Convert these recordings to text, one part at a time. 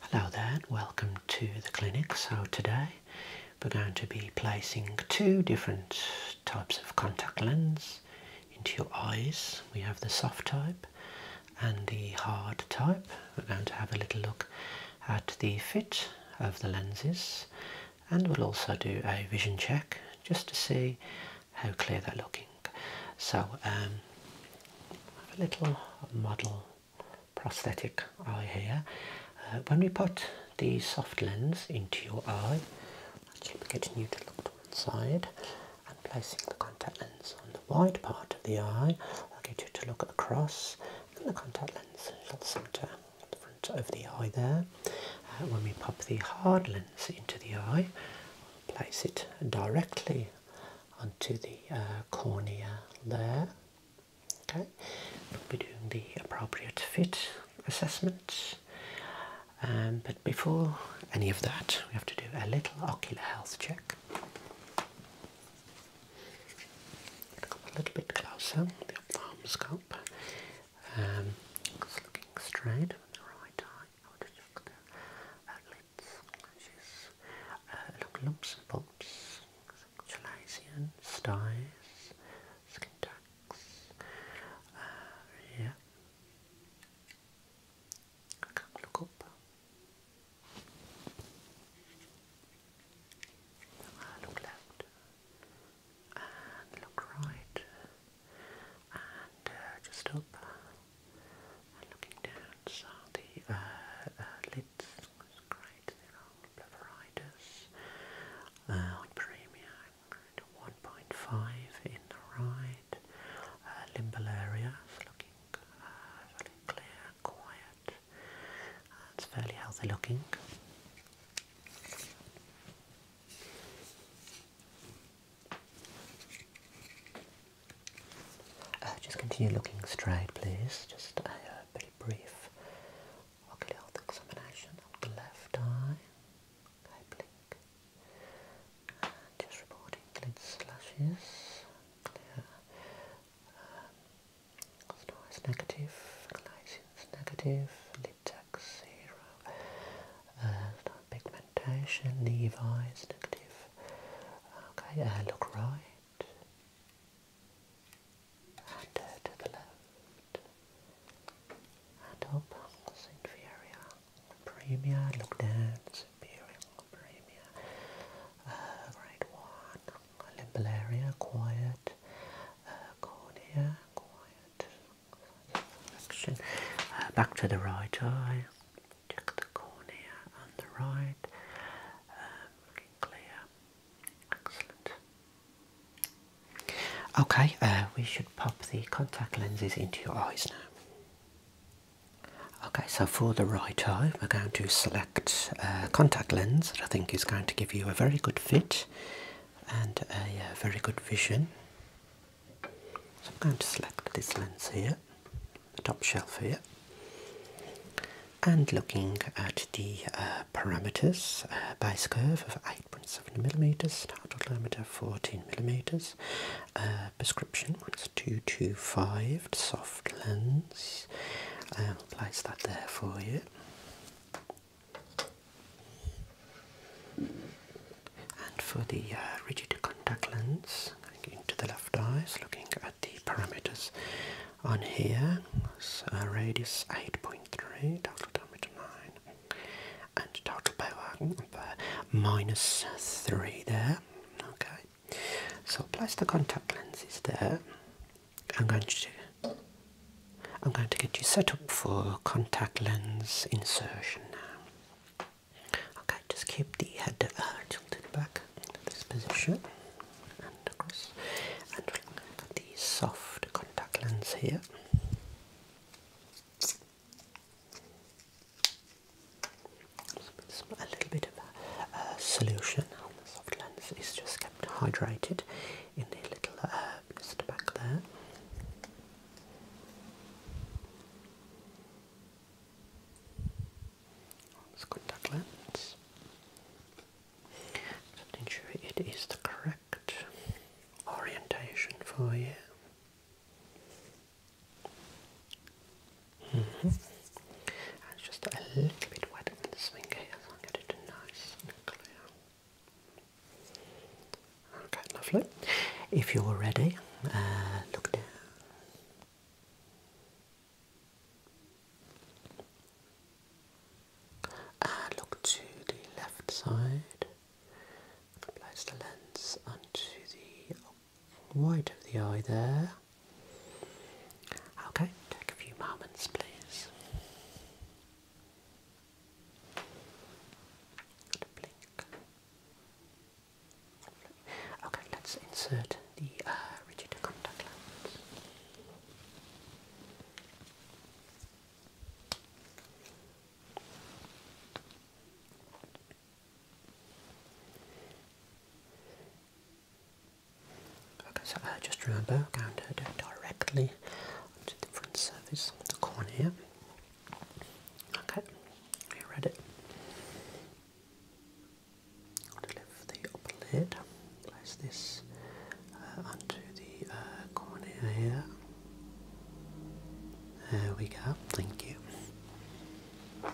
Hello there and welcome to the clinic. So today we're going to be placing two different types of contact lens into your eyes. We have the soft type and the hard type. We're going to have a little look at the fit of the lenses and we'll also do a vision check just to see how clear they're looking. So um, I have a little model prosthetic eye here. Uh, when we put the soft lens into your eye, I keep getting you to look to one side and placing the contact lens on the wide part of the eye, I'll get you to look across and the contact lens shall centre the front of the eye there. Uh, when we pop the hard lens into the eye, place it directly onto the uh, cornea there. Okay, we'll be doing the appropriate fit assessment. Um, but before any of that, we have to do a little ocular health check. Come a little bit closer, the ophthalmoscope. Um, looking straight on the right eye. She's uh, lumps and bumps, Chalazian, styes, skin tags. Uh, yeah. look up. look left and look right and uh, just up uh, and looking down. So the uh, lids great. They're all blepharitis uh, premium 1.5 in the right limbal area. looking clear, quiet. it's fairly healthy looking. Uh, just continue looking straight, please. Just a uh, very brief ocular examination of the left eye. Okay, blink. And just reporting lid slashes. Clear. Um, noise negative. Glycin's negative. Lid tax zero pigmentation, Levi is negative. Okay, uh, look right. And uh, to the left. And up, inferior, Superior. look down, superior, premier. Uh, grade 1, limbal area, quiet. Uh, cornea, quiet. Uh, back to the right eye. Check the cornea on the right. looking um, clear. Excellent. Okay, uh, we should pop the contact lenses into your eyes now. Okay, so for the right eye, we're going to select a contact lens that I think is going to give you a very good fit and a very good vision. So I'm going to select this lens here, the top shelf here, and looking at the uh, parameters uh, bias curve of 8.7 millimeters, total diameter 14 millimeters, uh, prescription one's 225, soft lens. I'll place that there for you. And for the uh, rigid contact lens, going into the left eye, looking at the parameters on here, so uh, radius 8.3, total diameter 9, and total power hmm, minus 3 there. Okay, so place the contact is there. I'm going to I'm going to get you set up for contact lens insertion now. Okay, just keep the head uh, tilted back into this position and across. And we're the soft contact lens here. Some, a little bit of a, solution on the soft lens is just kept hydrated in the little uh, just back there. Let's contact lens. Just ensure it is the correct orientation for you. -hmm. it's just a little bit wet in the swing here, so I'll get it nice and clear. Okay, lovely. If you're ready, uh, look down. Uh, look to the left side. Place the lens onto the white of the eye there. Okay, take a few moments, please. Okay, let's insert the uh, rigid contact lens. Okay, so uh, just remember, counter directly to the front surface of the corner Yeah? Okay, I read it. i the upper lid, place this uh, onto the uh, here. There we go, thank you. Okay,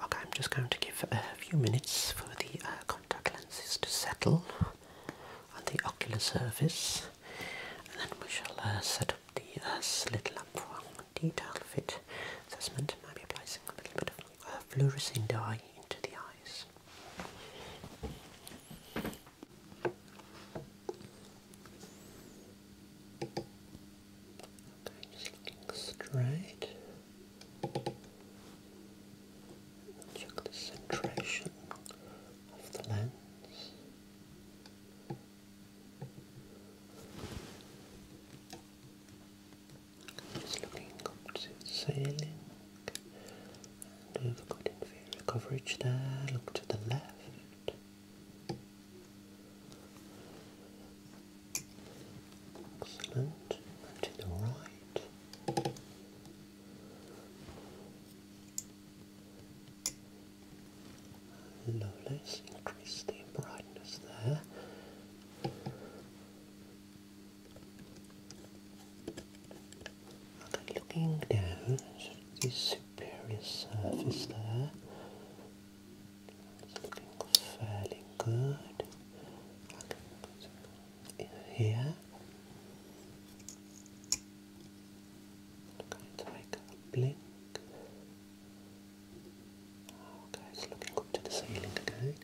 I'm just going to give a few minutes for the uh, contact lenses to settle on the ocular surface, and then we shall uh, set up the uh, slit lamp for a detailed fit assessment. Maybe placing a little bit of uh, fluorescein dye into the eyes. Okay, just looking straight. Check the centration of the lens. Just looking up to we've got inferior coverage there. Look to the left. Excellent. to the right let's increase the brightness there. looking down at the superior surface there. looking fairly good here. I'm going a blink. Okay, it's looking up to the ceiling again.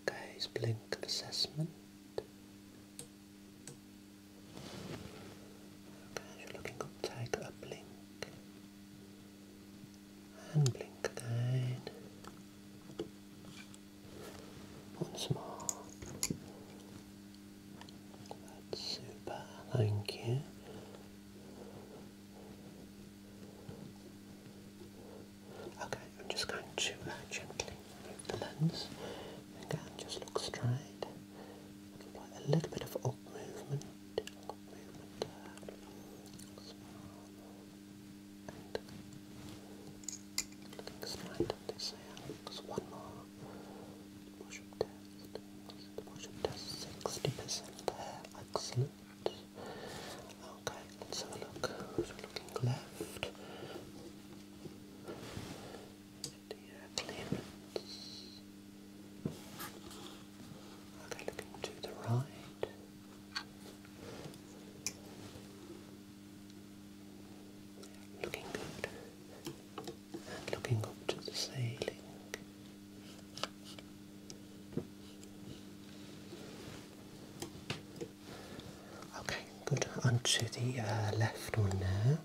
Okay, it's blink assessment. Okay, you're looking up, take a blink. And blink again. Once more. That's super, thank you. Okay, I'm just going to uh, gently move the lens. Again, just look straight. Apply a little bit of up movement. Uh, and let's this here. There's one more push test. The test 60% Excellent. Okay, let's have a look. looking left. Clearance. Okay, looking to the right. Looking good. And looking up to the ceiling. Okay, good. Onto the uh, left one now.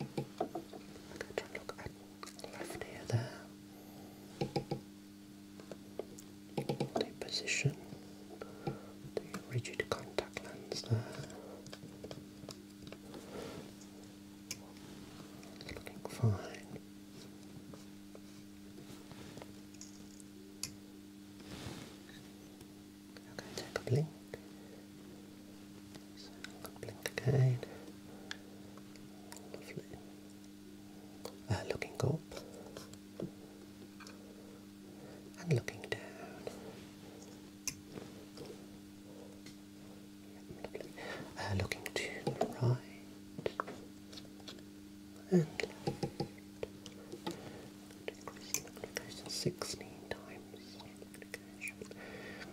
Okay, try and look left ear there the position, the rigid contact lens there. looking fine. Okay, take a blink. So blink again. Lovely. Uh, looking up and looking down. Uh, looking to the right and left. Sixteen times.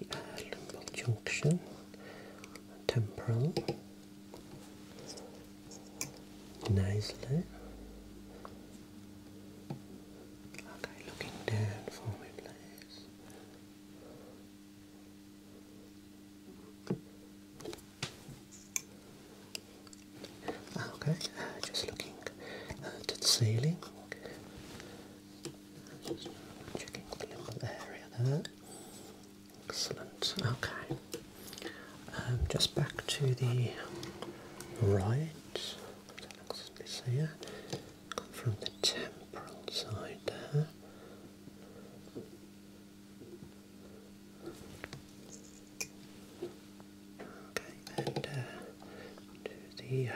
the junction, temporal, nicely. Okay, looking down for me, please. Ah, okay, uh, just looking uh, to the ceiling. checking the area there. Excellent. Okay. Um, just back to the right. This here. Come from the temporal side there. Okay, and uh, do the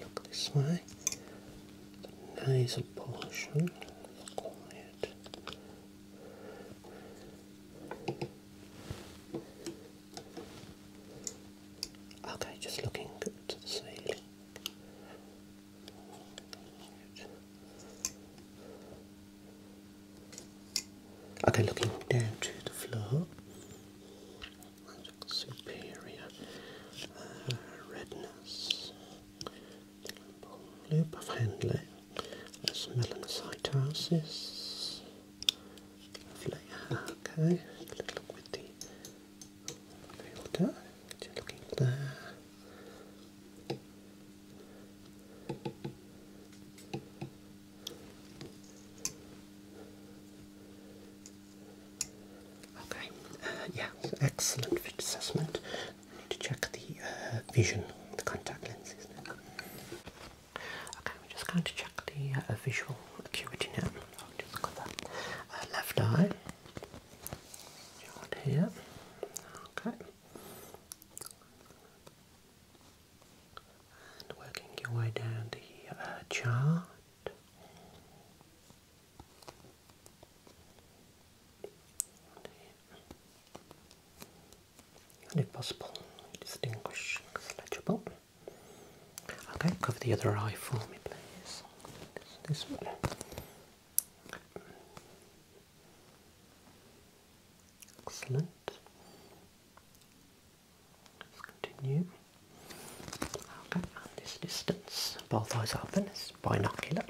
look this way the portion, quiet. Okay, just looking good to the ceiling. Okay, looking down to the floor superior, uh, redness, loop of handling, that's melanocytosis, lovely, okay, let's look with the filter, just looking there, Okay, uh, yeah, excellent fit assessment. I need to check the uh, vision, the contact lenses Okay, we're just going to check the uh, visual acuity now. just cover uh, left eye, right here. Okay, and working your way down the uh, chart. And if possible, distinguish legible. Okay, cover the other eye for me, please. Excellent. Let's continue. i this distance. Both eyes open. It's binocular.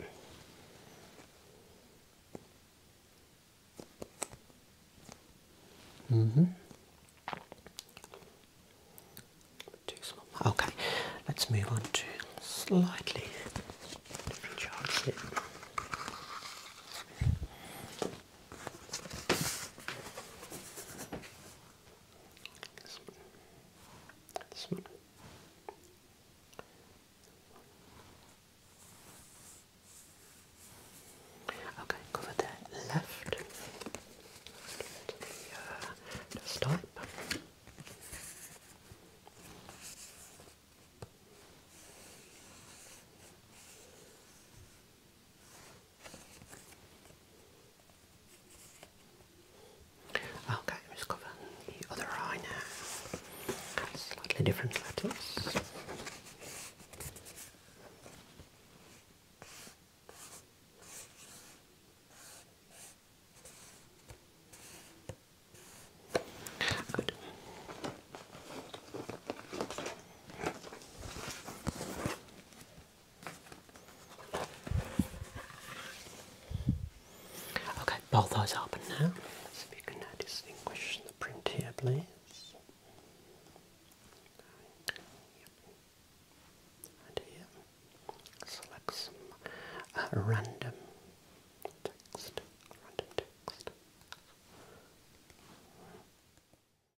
Mm-hmm. Okay, let's move on to slightly this one. Okay, cover the left. The, uh, stop. Okay, I'm just the other eye now. slightly different letters. Good. Okay, both eyes open now. let if you can now distinguish the print here, please. And here, select some uh, random text. Random text.